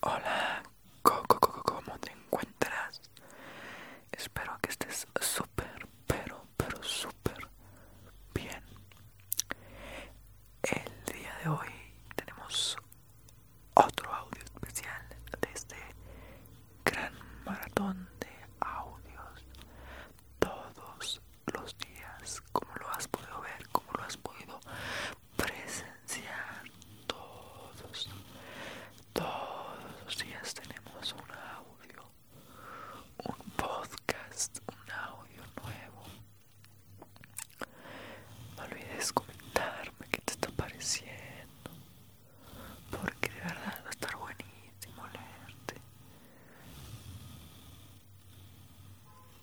Hola, Coco, ¿cómo te encuentras? Espero que estés súper, pero, pero súper bien. El día de hoy tenemos otro audio especial de este gran maratón de audios. Todos los días, como lo has podido ver, como lo has podido Presenciar Todos, todos los días tenemos un audio, un podcast, un audio nuevo. No olvides comentarme qué te está pareciendo, porque de verdad va a estar buenísimo leerte.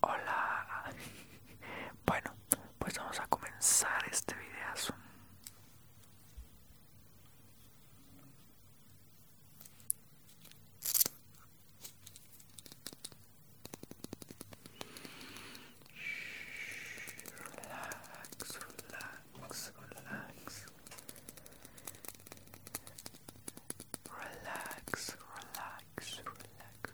Hola, bueno, pues vamos a comenzar este videazo. Relax, relax, relax. Relax, relax, relax.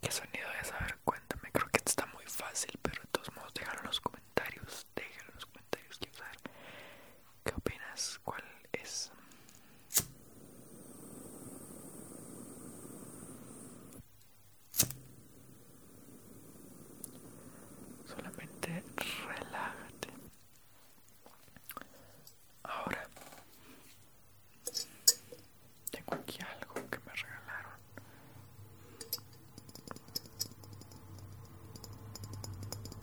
¿Qué sonido es? A ver, cuéntame. Creo que está muy fácil, pero de todos modos, déjalo en los comentarios. Déjalo en los comentarios. Quiero saber qué opinas. ¿Cuál es? Solamente relájate. Ahora tengo aquí algo que me regalaron.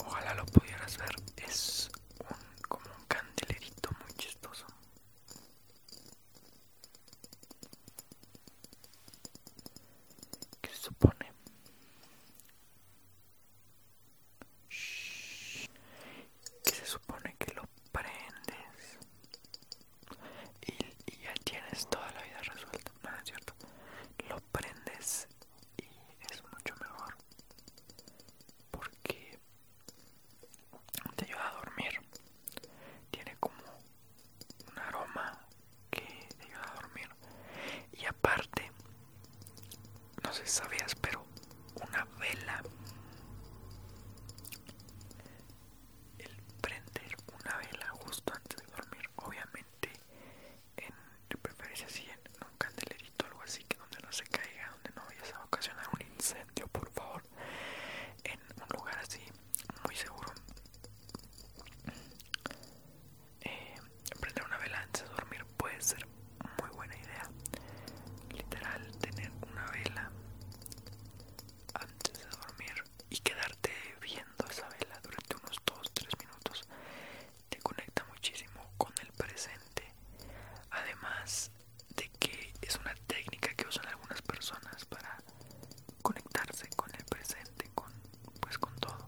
Ojalá lo pudieras ver. Es como un candelerito muy chistoso. Que supone y se supone que lo prendes y, y ya tienes toda la vida resuelta, no es cierto, lo prendes y es mucho mejor porque te ayuda a dormir, tiene como un aroma que te a dormir. Y aparte, no sé si sabías, pero una vela, el prender una vela justo antes de dormir, obviamente, en, de preferencia si en un candelerito, algo así, que donde no se caiga, donde no vayas a ocasionar un incendio, por favor, en un lugar así muy seguro eh, prender una vela antes de dormir puede ser muy buena idea. Literal, tener una vela antes de dormir y quedarte viendo esa vela durante unos 2-3 minutos te conecta muchísimo con el presente. Además de que es una técnica que usan algunas personas para conectarse con el presente, con pues con todo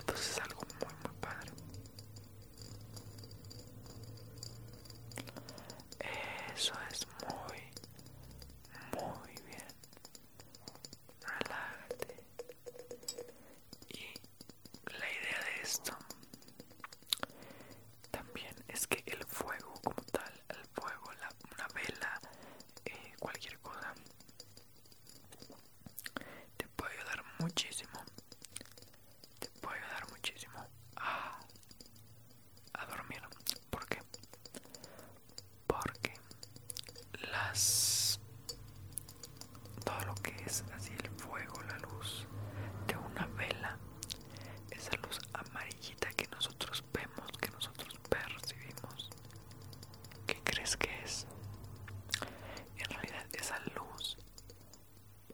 entonces es algo muy muy padre eso es muy muy bien relájate y la idea de esto también es que el fuego como tal el fuego la, una vela eh, cualquier cosa te puede ayudar muchísimo. Te puede ayudar muchísimo a, dormir. ¿Por qué? Porque las todo lo que es así el fuego, la luz de una vela, esa luz amarillita que nosotros vemos, que nosotros percibimos, ¿Qué crees que es? En realidad esa luz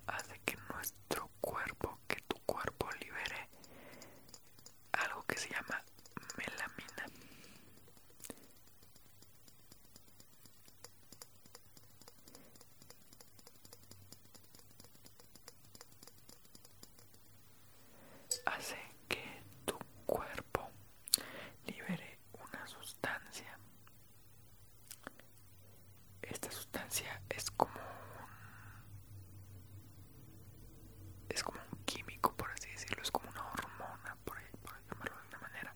hace que nuestro cuerpo, que tu cuerpo libere algo que se llama melamina. Hace que tu cuerpo libere una sustancia. Esta sustancia es como un, es como un químico, por así decirlo, es como una hormona, por, por llamarlo de una manera,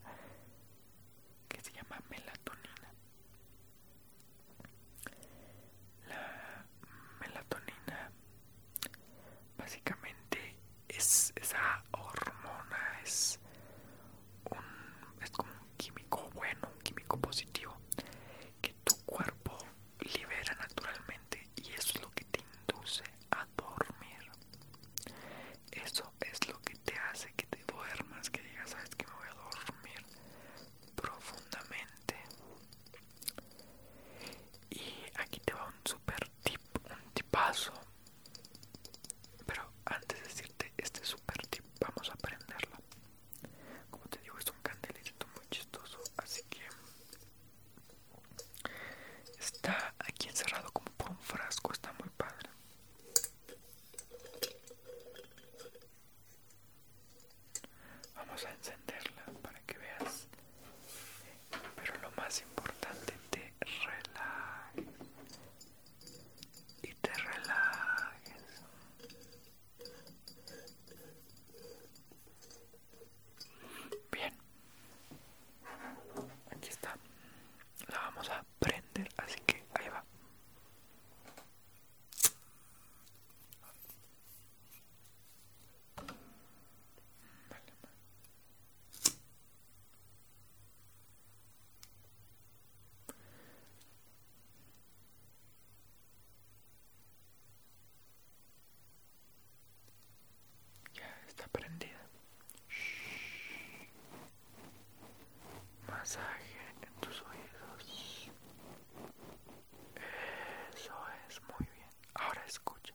que se llama melatonina. La melatonina básicamente es esa hormona es un, es como un químico bueno, un químico positivo que tu cuerpo libera naturalmente y eso es lo que te induce a dormir. Eso es lo que te hace que te duermas, que digas, sabes que me voy a dormir profundamente. Y aquí te va un super tip, un tipazo pero antes de decirte este super tip, vamos a prenderla. Como te digo, es un candelito muy chistoso, así que está aquí encerrado como por un frasco, está muy padre. Vamos a encenderla para que veas pero lo más importante, te relajes. Y te relajes. Bien. Aquí está. La vamos a prender, así que ahí va. Ya está prendida. Shhh. Masaje en tus oídos. Eso es muy bien. Ahora escucha.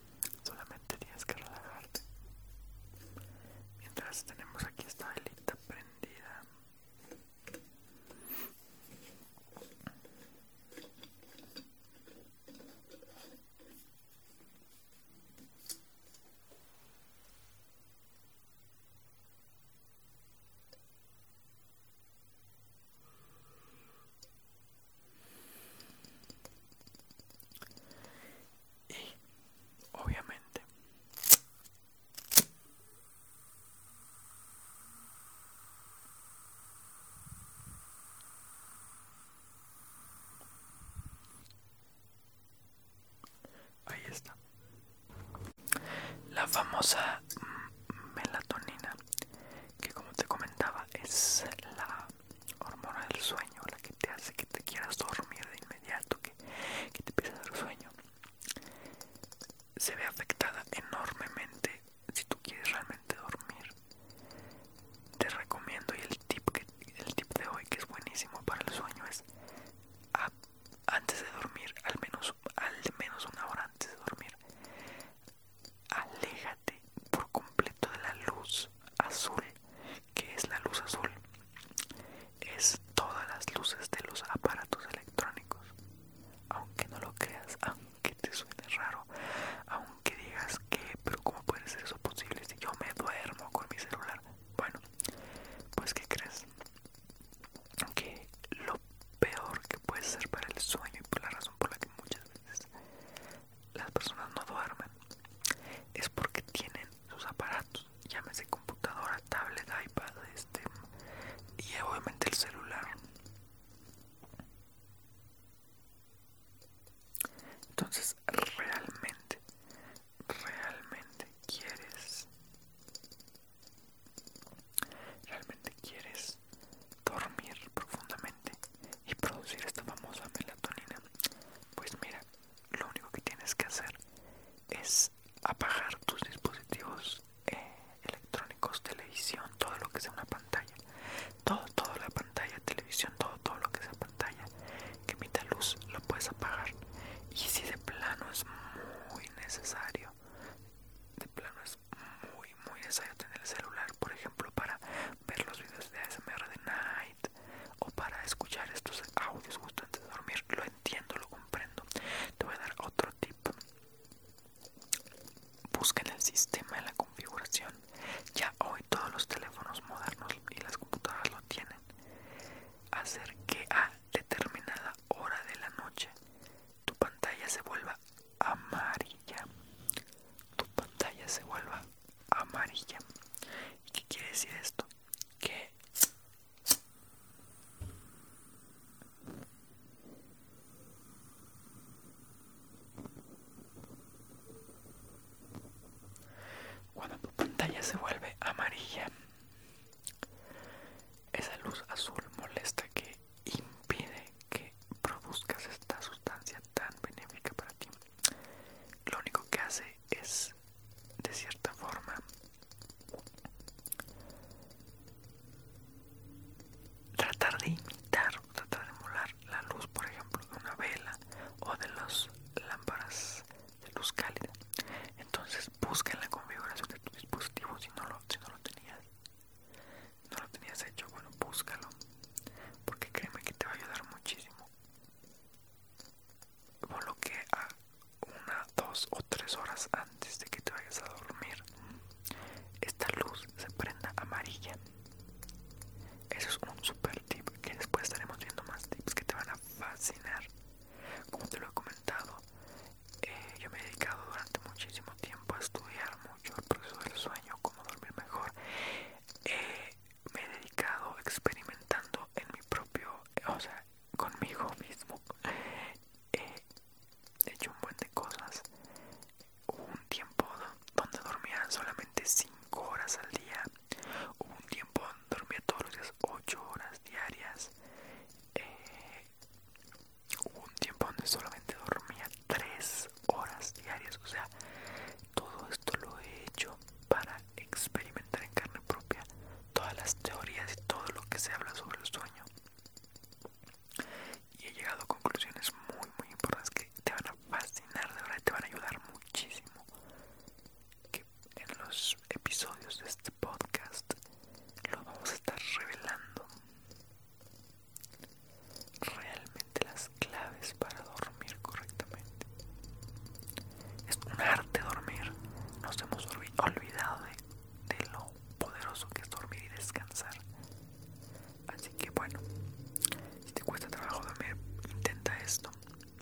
solamente tienes que relajarte. Mientras tenemos aquí esta velita prendida. Y obviamente Ahí está. La famosa melatonina, que como te comentaba es la hormona del sueño, la que te hace que te quieras dormir de inmediato, que, que te pierdas a sueño, se ve afectada enormemente si tú quieres realmente dormir. Te recomiendo y el tip, que, el tip de hoy que es buenísimo para el sueño es antes de dormir, al menos, al menos una hora antes de dormir, aléjate por completo de la luz azul. que es la luz azul? Es todas las luces de los aparatos electrónicos. Aunque no lo creas, aunque te suene raro, aunque digas que, pero como puede ser eso posible si yo me duermo con mi celular? Bueno, pues ¿qué crees? Que lo peor que puede ser para el sueño y por la razón por la que muchas veces las personas no duermen es porque tienen sus aparatos, llámese computadora, tablet, iPad, este y obviamente el celular. Entonces, realmente, realmente quieres, realmente quieres dormir profundamente y producir esta famosa melatonina pues mira lo único que tienes que hacer es apagar tus dispositivos eh, electrónicos televisión todo lo que sea una pantalla todo toda la pantalla televisión todo todo lo que sea pantalla que emita luz lo puedes apagar y si de plano es muy necesario de plano es muy muy necesario tener el celular por ejemplo para ver los videos de ASMR de Night o para escuchar estos audios justo antes de dormir. Lo entiendo, lo comprendo. Te voy a dar otro tip. Busca en el sistema, en la configuración. Ya hoy todos los teléfonos modernos y las computadoras lo tienen. Hacer que a determinada hora de la noche tu pantalla se vuelva amarilla. Tu pantalla se vuelva amarilla. ¿Y qué quiere decir esto? Que cuando tu pantalla se vuelve amarilla, esa luz azul molesta que impide que produzcas esta sustancia tan benéfica para ti lo único que hace es de cierta forma tratar de imitar o tratar de emular la luz por ejemplo de una vela o de las lámparas de luz cálida entonces busca en la configuración de tu dispositivo si no lo, si no lo tenías no lo tenías hecho, bueno, búscalo, porque créeme que te va a ayudar muchísimo. lo a una, dos o tres horas antes de que te vayas a dormir. Esta luz se prenda amarilla. Eso es un super tip que después estaremos viendo más tips que te van a fascinar. Como te lo he comentado, eh, yo me he dedicado durante muchísimo tiempo a estudiar mucho el proceso del sueño, cómo dormir mejor. Eh, me he dedicado experimentando en mi propio, o sea, conmigo mismo. Eh, he hecho un buen de cosas. Hubo un tiempo donde dormía solamente 5 horas al día. Hubo un tiempo donde dormía todos los días 8 horas diarias. Eh, hubo un tiempo donde solamente dormía Tres horas diarias. O sea, todo esto lo he hecho para experimentar en carne propia todas las teorías y todo lo que se habla sobre el sueño. Y he llegado a conclusiones muy, muy importantes que te van a fascinar, de verdad, te van a ayudar muchísimo. Que en los episodios de este podcast lo vamos a estar revelando realmente las claves para dormir correctamente. Es un arte dormir, nos hemos olvidado de, lo poderoso que es dormir y descansar. Así que bueno, si te cuesta trabajo dormir, intenta esto.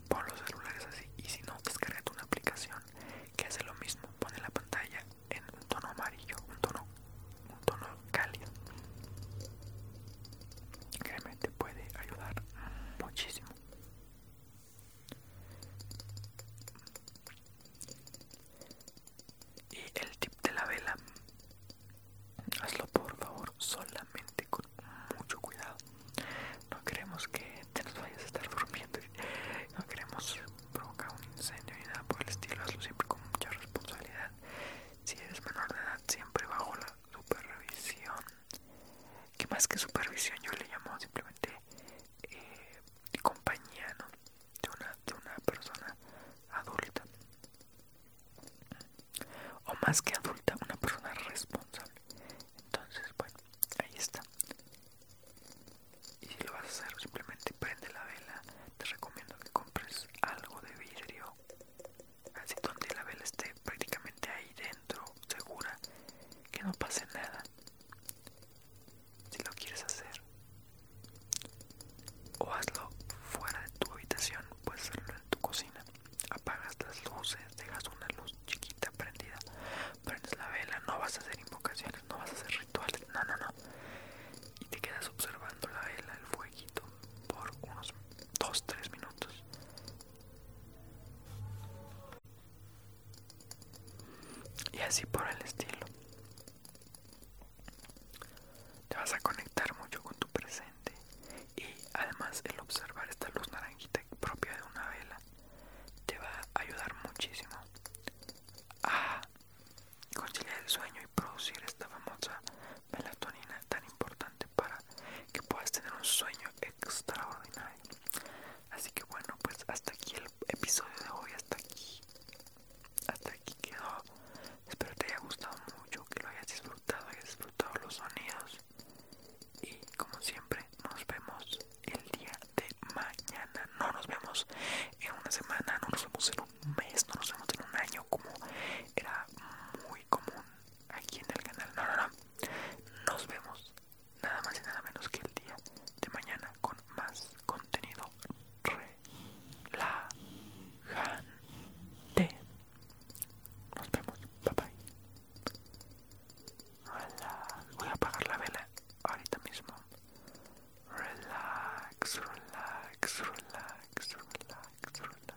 Pon los celulares así y si no, descarga una aplicación que hace lo mismo. Pone la pantalla en un tono amarillo, un tono un tono cálido realmente puede ayudar muchísimo y el tip de la vela hazlo por favor solamente con mucho cuidado no queremos que te vayas a estar durmiendo no queremos provocar un incendio ni nada por el estilo hazlo siempre con mucha responsabilidad si eres menor de edad, siempre bajo la supervisión. Que más que supervisión, yo le llamo simplemente eh, compañía de, una, de una persona adulta. O más que adulta, una persona responsable. Entonces, bueno, ahí está. Y si lo vas a hacer, simplemente prende la vela. Te recomiendo que compres algo de vidrio así donde la vela esté prácticamente ahí dentro, segura, que no pase nada. Si lo quieres hacer, o hazlo fuera de tu habitación, puedes hacerlo en tu cocina. Apagas las luces, dejas una luz chiquita prendida, prendes la vela, no vas a hacer invocaciones, no vas a hacer rituales, no, no, no. Y te quedas observando la vela, el fuego por unos 2-3 minutos. Y así por el estilo. Te vas a conectar mucho con tu presente y además el observar esta luz naranjita propia de una vela te va a ayudar muchísimo a conciliar el sueño producir esta famosa melatonina tan importante para que puedas tener un sueño extraordinario. Así que bueno, pues hasta aquí el episodio de hoy, hasta aquí. Hasta aquí quedó. Espero te haya gustado mucho, que lo hayas disfrutado, hayas disfrutado los sonidos. Y como siempre, nos vemos el día de mañana. No nos vemos en una semana, no nos vemos en un mes, no nos vemos en un año como era muy común aquí en el canal. No, no, no. Nos vemos nada más y nada menos que el día de mañana con más contenido relajante. Nos vemos. Bye bye. Voy a apagar la vela ahorita mismo. Relax, relax, relax, relax, relax.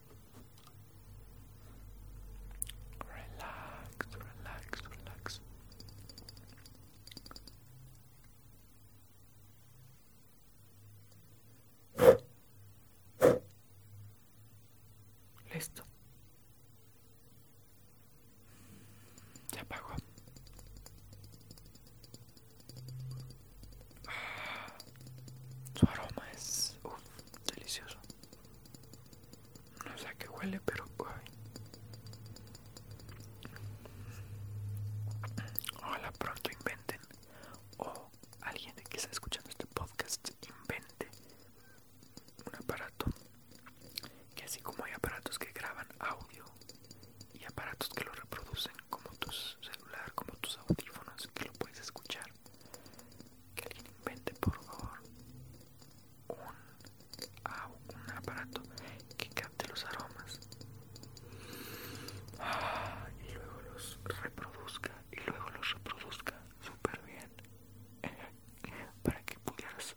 Relax, relax, relax. Listo. Ya apagó. Ah, su aroma es uf, delicioso. No sé a qué huele, pero hola pronto inventen o alguien que está escuchando este podcast invente un aparato que así como hay aparatos que graban audio y aparatos que lo reproducen como tu celular, como tus audífonos que lo puedes escuchar que alguien invente por favor ah, un, aparato que capte los aromas ah, y luego los reproduzca y luego los reproduzca súper bien para que pudieras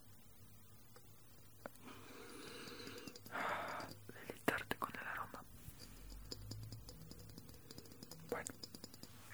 ah, con el aroma bueno